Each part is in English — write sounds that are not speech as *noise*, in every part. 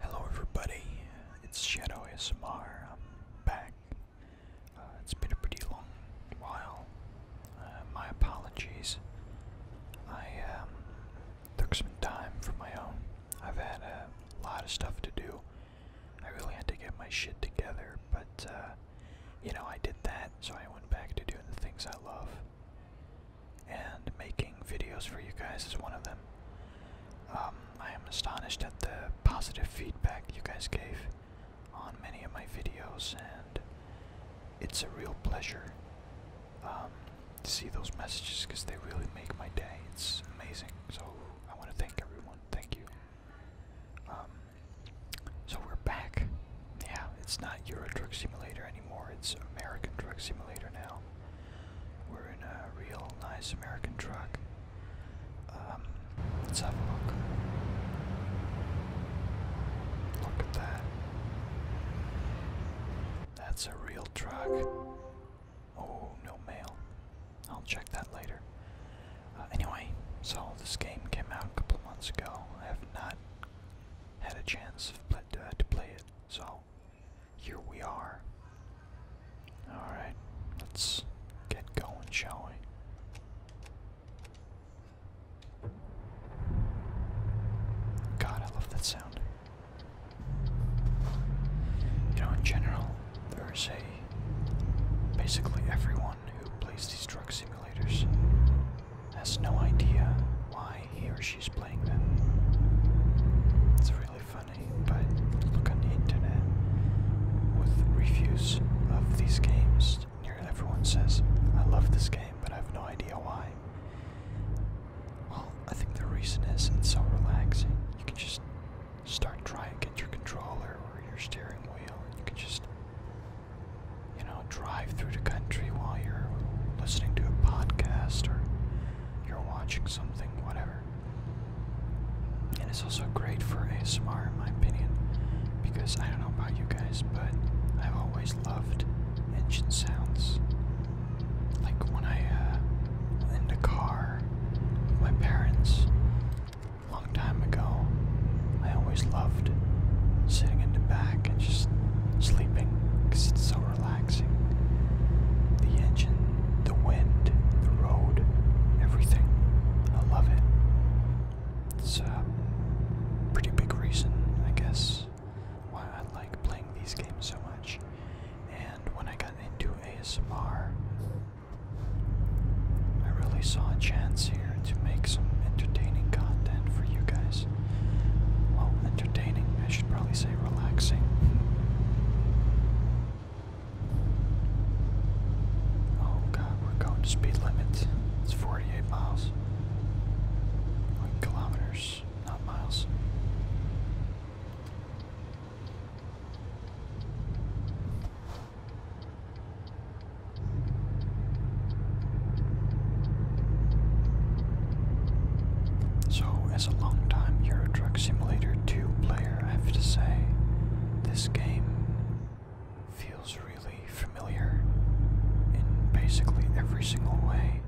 Hello, everybody. It's Shadow ASMR. I'm back. Uh, it's been a pretty long while. Uh, my apologies. I um, took some time for my own. I've had a lot of stuff to do. I really had to get my shit together, but uh, you know, I did that, so I went back to doing the things I love and making videos for you guys is one of them. Um, I am astonished at the positive feedback you guys gave on many of my videos, and it's a real pleasure um, to see those messages because they really make my day. It's amazing. So I want to thank everyone. Thank you. Um, so we're back. Yeah, it's not Euro Truck Simulator it's American Truck Simulator now. We're in a real nice American truck. Um, let's have a look. Look at that. That's a real truck. Oh, no mail. I'll check that later. Uh, anyway, so this game came out a couple months ago. I have not had a chance uh, to play, it. So here we are. Alright, let's get going, shall we? God, I love that sound. You know, in general, there's a. Basically, everyone who plays these drug simulators has no idea why he or she's playing them. It's really funny, but look on the internet with reviews of these games. Nearly everyone says, I love this game, but I have no idea why. Well, I think the reason is it's so relaxing. You can just start trying, get your controller or your steering wheel, and you can just you know, drive through the country while you're listening to a podcast or you're watching something, whatever. And it's also great for ASMR, in my opinion, because I don't know about you guys, but I've always loved engine sounds. Like when I, uh, in the car my parents a long time ago, I always loved sitting in the back and just sleeping because it's so relaxing. The engine, the wind, the road, everything. I love it. It's a pretty big reason, I guess, why I like playing these games so much. And when I got into ASMR, I really saw a chance here to make some entertaining content for you guys. Well, entertaining, I should probably say relaxing. Oh god, we're going to speed limit. It's 48 miles. kilometers, not miles. So, as a long time Euro Truck Simulator 2 player, I have to say, this game feels really familiar in basically every single way.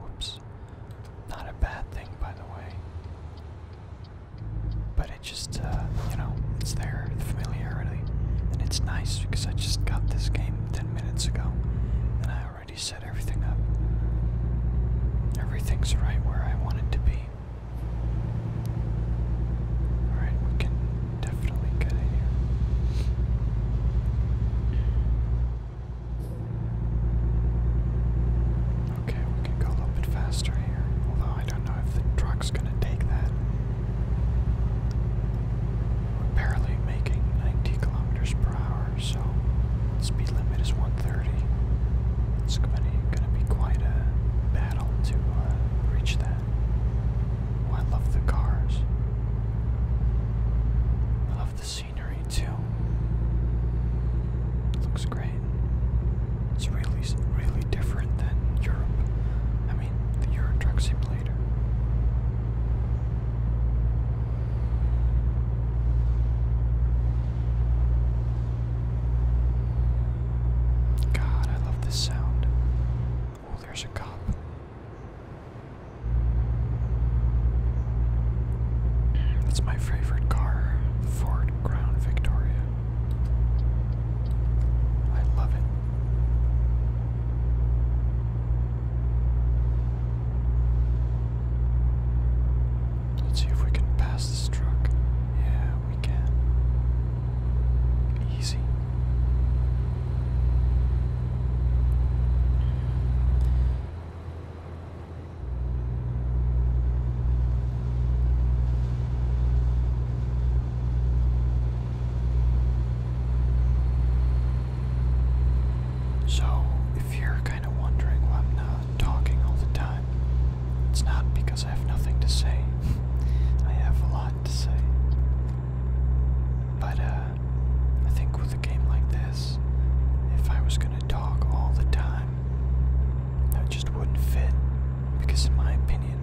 Whoops. Not a bad thing, by the way. But it just, uh, you know, it's there, the familiarity. And it's nice because I just got this game 10 minutes ago and I already set everything up. Everything's right where I want it to be. Alright, we can definitely get in here. Okay, we can go a little bit faster here, although I don't know if the truck's gonna take that. We're barely making 90 kilometers per hour, so speed limit is 130. It's going to be quite a battle to uh, reach that. Oh, I love the cars. I love the scenery too. It looks great. It's really, really different than Europe. I mean, the Euro Truck Simulator God, I love this sound. Oh, there's a cop. That's my favorite car, the Ford Crown Victoria. I love it. Let's see if we can pass this truck. Yeah, we can. Easy. So, if you're kind of wondering why I'm not talking all the time, it's not because I have nothing to say. *laughs* I have a lot to say. But, uh, I think with a game like this, if I was gonna talk all the time, that just wouldn't fit. Because, in my opinion,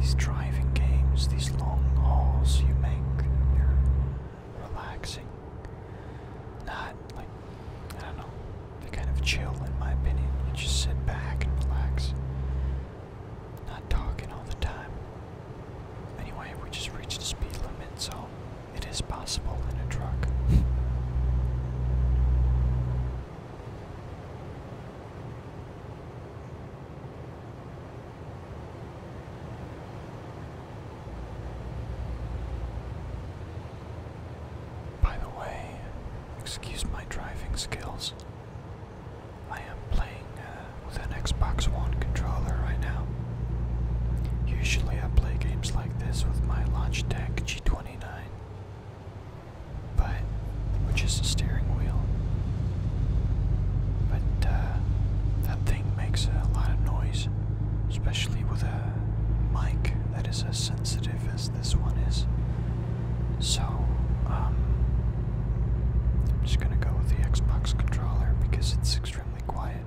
these driving games, these long hauls you make, you're relaxing. Not like, I don't know, they kind of chill in my opinion. just sit back and relax. Not talking all the time. Anyway, we just reached the speed limit, so it is possible in a truck. *laughs* By the way, excuse my driving skills. I am playing uh, with an Xbox One controller right now. Usually I play games like this with my Logitech G29 but which is the steering wheel. But uh, that thing makes a lot of noise, especially with a mic that is as sensitive as this one is. So um, I'm just gonna go with the Xbox controller because it's extremely quiet.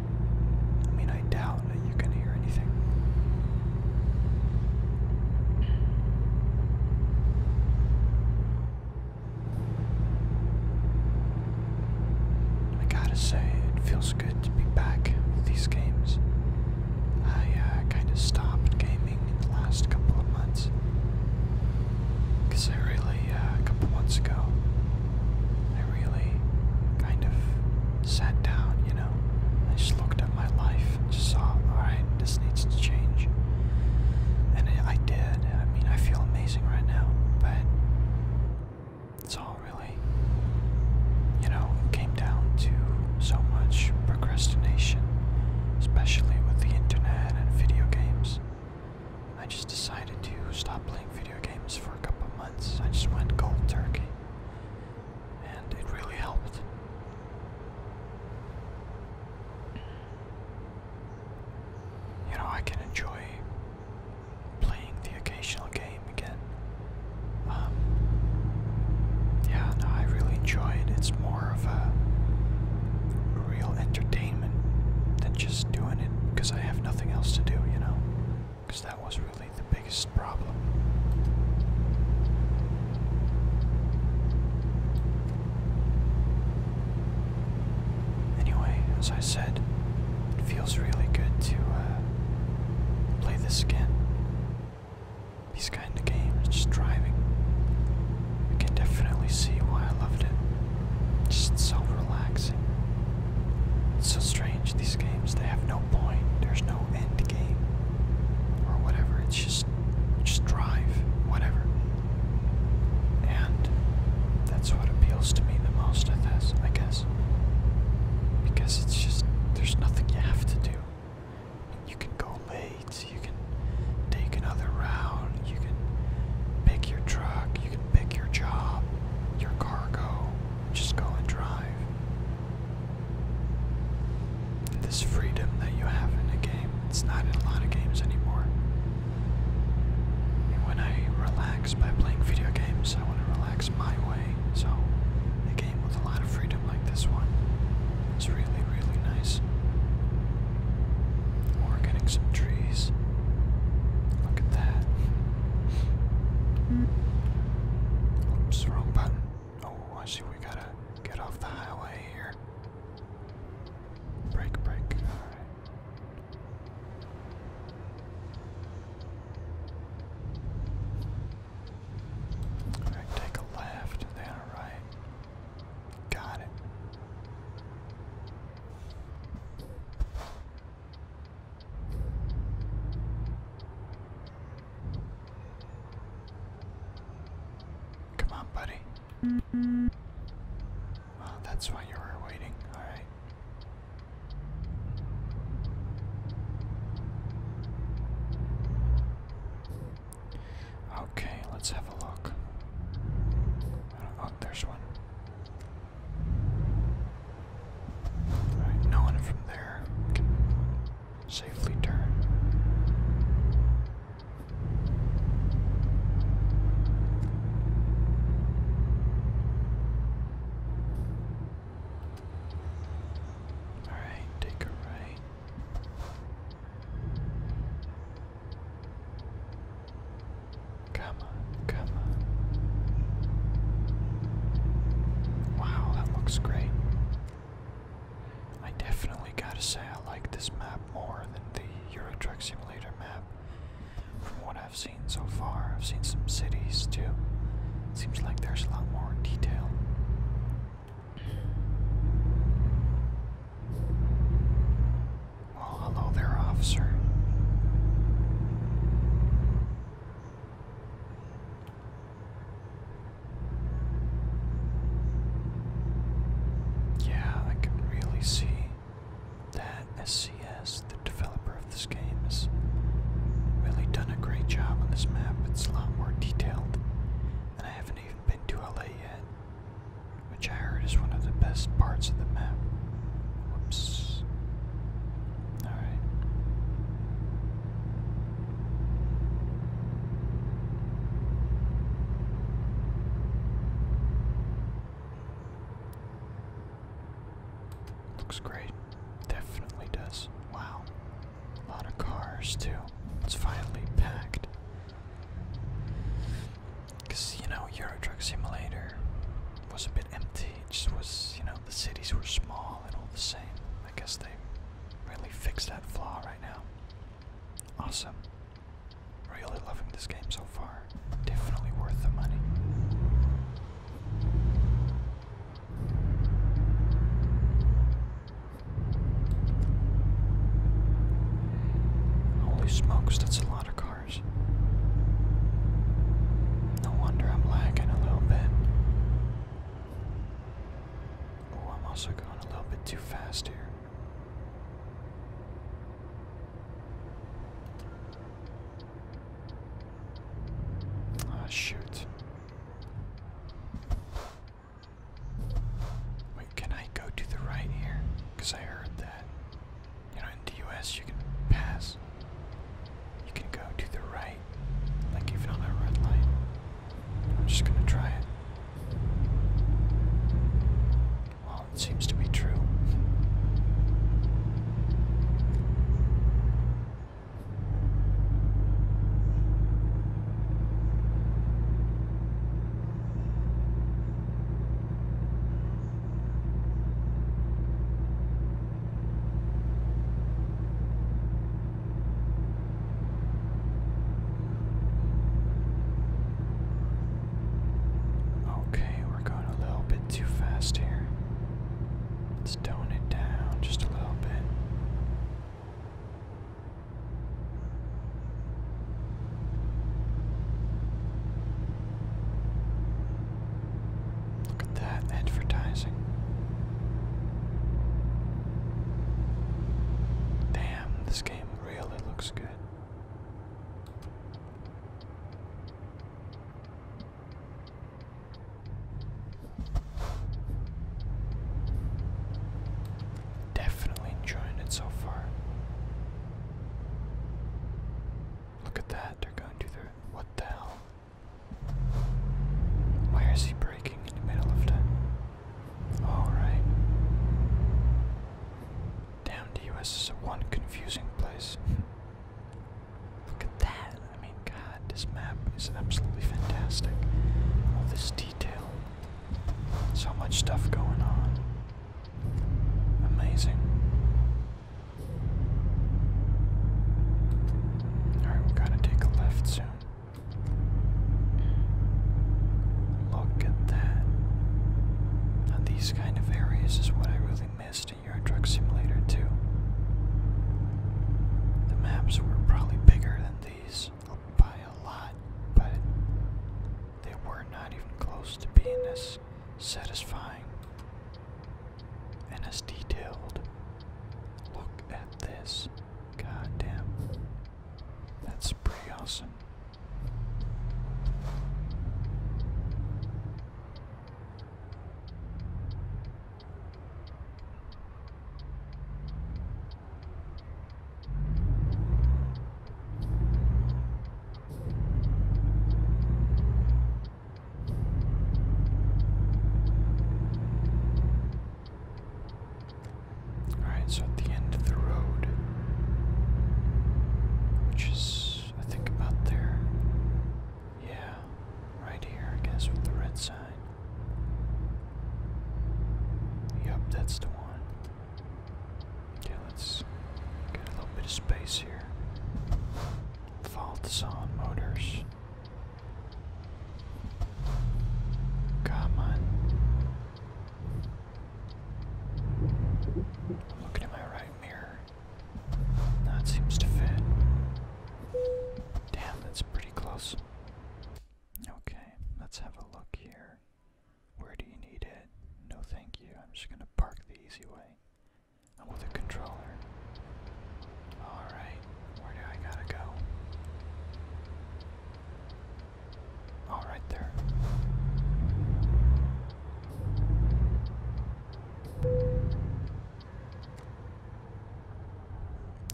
I mean, I doubt that you can hear anything. I gotta say, it feels good to be back with these games. I uh, kind of stopped gaming in the last couple of months. Because I really, uh, a couple months ago, I really kind of sat down, you know. I just looked at my life just saw, alright, this needs to change. And I did. I mean, I feel amazing right now, but it's all really, you know, it came down to so much procrastination, especially with the internet and video games. I just decided to stop playing video games for a couple months. I just went cold turkey and it really helped. You know, I can enjoy playing the occasional game again. Um, yeah, no, I really enjoy it. It's more of a real entertainment than just doing it because I have nothing else to do, you know? Because that was really the biggest problem. Anyway, as I said, it feels really good to uh, play this again. These kind of games, just driving. You can definitely see why I loved it. Just so relaxing. It's so strange, these games, they have no point, there's no end game or whatever. It's just just drive, whatever. And that's what appeals to me the most of this, I guess. Because it's just there's nothing you have to do. You can go late, you can take another route, you can pick your truck, you can pick your job, your cargo, just go and drive. This freedom that you have in a game, it's not in a lot of games anymore. And when I relax by playing video games, I want to relax my way. So, a game with a lot of freedom like this one is really, really nice. Or getting some trees. Look at that. Mm. Oops, wrong button. Oh, I see. we gotta get off the highway here. Break, break. Alright, take a left, then a right. Got it. Come on, buddy. Mm that's why you were waiting. All right. Okay, let's have a look. Oh, there's one. All right, no from there safely turn. All right, take a right. Come on, come on. Wow, that looks great. I definitely gotta say I like this map more than the Euro Truck Simulator map. From what I've seen so far, I've seen some cities too. seems like there's a lot more detail. Well, oh, hello there, officer. Yeah, I can really see that SCS, the developer of this game, has really done a great job on this map. It's a lot more detailed, and I haven't even been to LA yet, which I heard is one of the best parts of the map. Whoops. All right. Looks great. Definitely does. Wow. A lot of cars, too. It's finally packed. Because, you know, Euro Truck Simulator was a bit empty. just was, you know, the cities were small and all the same. I guess they really fixed that flaw right now. Awesome. Really loving this game so far. Definitely worth the money. Holy smokes, that's a lot of cars. No wonder I'm lagging a little bit. Oh, I'm also going a little bit too fast here. Ah, shoot. Wait, can I go to the right here? Because I heard that. You know, in the US you can pass. You can go to the right, like even on that red light. I'm just gonna try it. Well, it seems to be true. Okay, we're going a little bit too fast here. Let's tone it down just a little bit. Look at that advertising. Damn, this game really looks good. Definitely enjoying it so far. Look at that, they're going to their. What the hell? Why is he breaking in the middle of the. Alright. Damn, the US is one confusing place. Look at that! I mean, god, this map is absolutely fantastic. All this detail. So much stuff going on. Amazing. Alright, we gotta take a left soon. Look at that. Now, these kind of areas is what I really missed in Euro drug Simulator too. The maps were probably bigger than these by a lot, but they were not even close to being as satisfying and as detailed. Look at this. Goddamn, That's pretty awesome. Alright, so at the end of the road, which is, I think, about there. Yeah, right here, I guess, with the red sign. Yup, that's the one. Okay, let's get a little bit of space here faults on motors. Come on. looking at my right mirror. That seems to fit. Damn, that's pretty close. Okay, let's have a look here. Where do you need it? No, thank you. I'm just going to park the easy way. I'm with a controller. Alright, where do I gotta go? All oh, right there.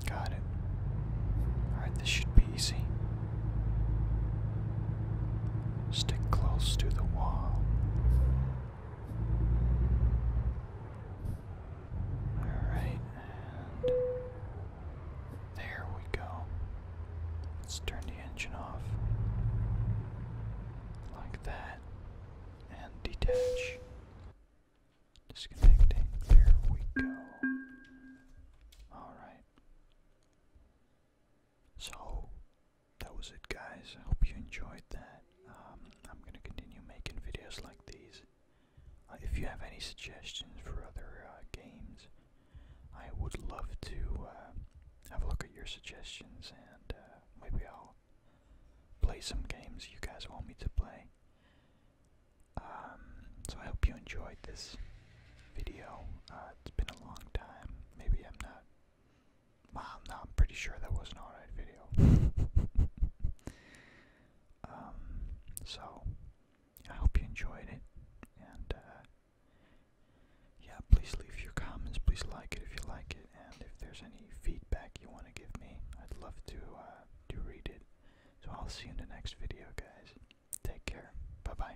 Got it. All right, this should be easy. Stick close to the wall. Alright, there we go. Let's turn the engine off. Like that. And detach. Disconnecting. There we go. Alright. So that was it guys. I hope you enjoyed that. Um, I'm gonna continue making videos like these. Uh, if you have any suggestions for other uh, games, I would love to uh, have a look at your suggestions and maybe I'll play some games you guys want me to play. Um, so I hope you enjoyed this video. it's been a long time. Maybe I'm not I'm pretty sure that was an alright video. *laughs* Um, so, I hope you enjoyed it, and uh, yeah, please leave your comments, please like it if you like it, and if there's any feedback you want to give me, I'd love to, uh, to read it. So I'll see you in the next video, guys. Take care. Bye-bye.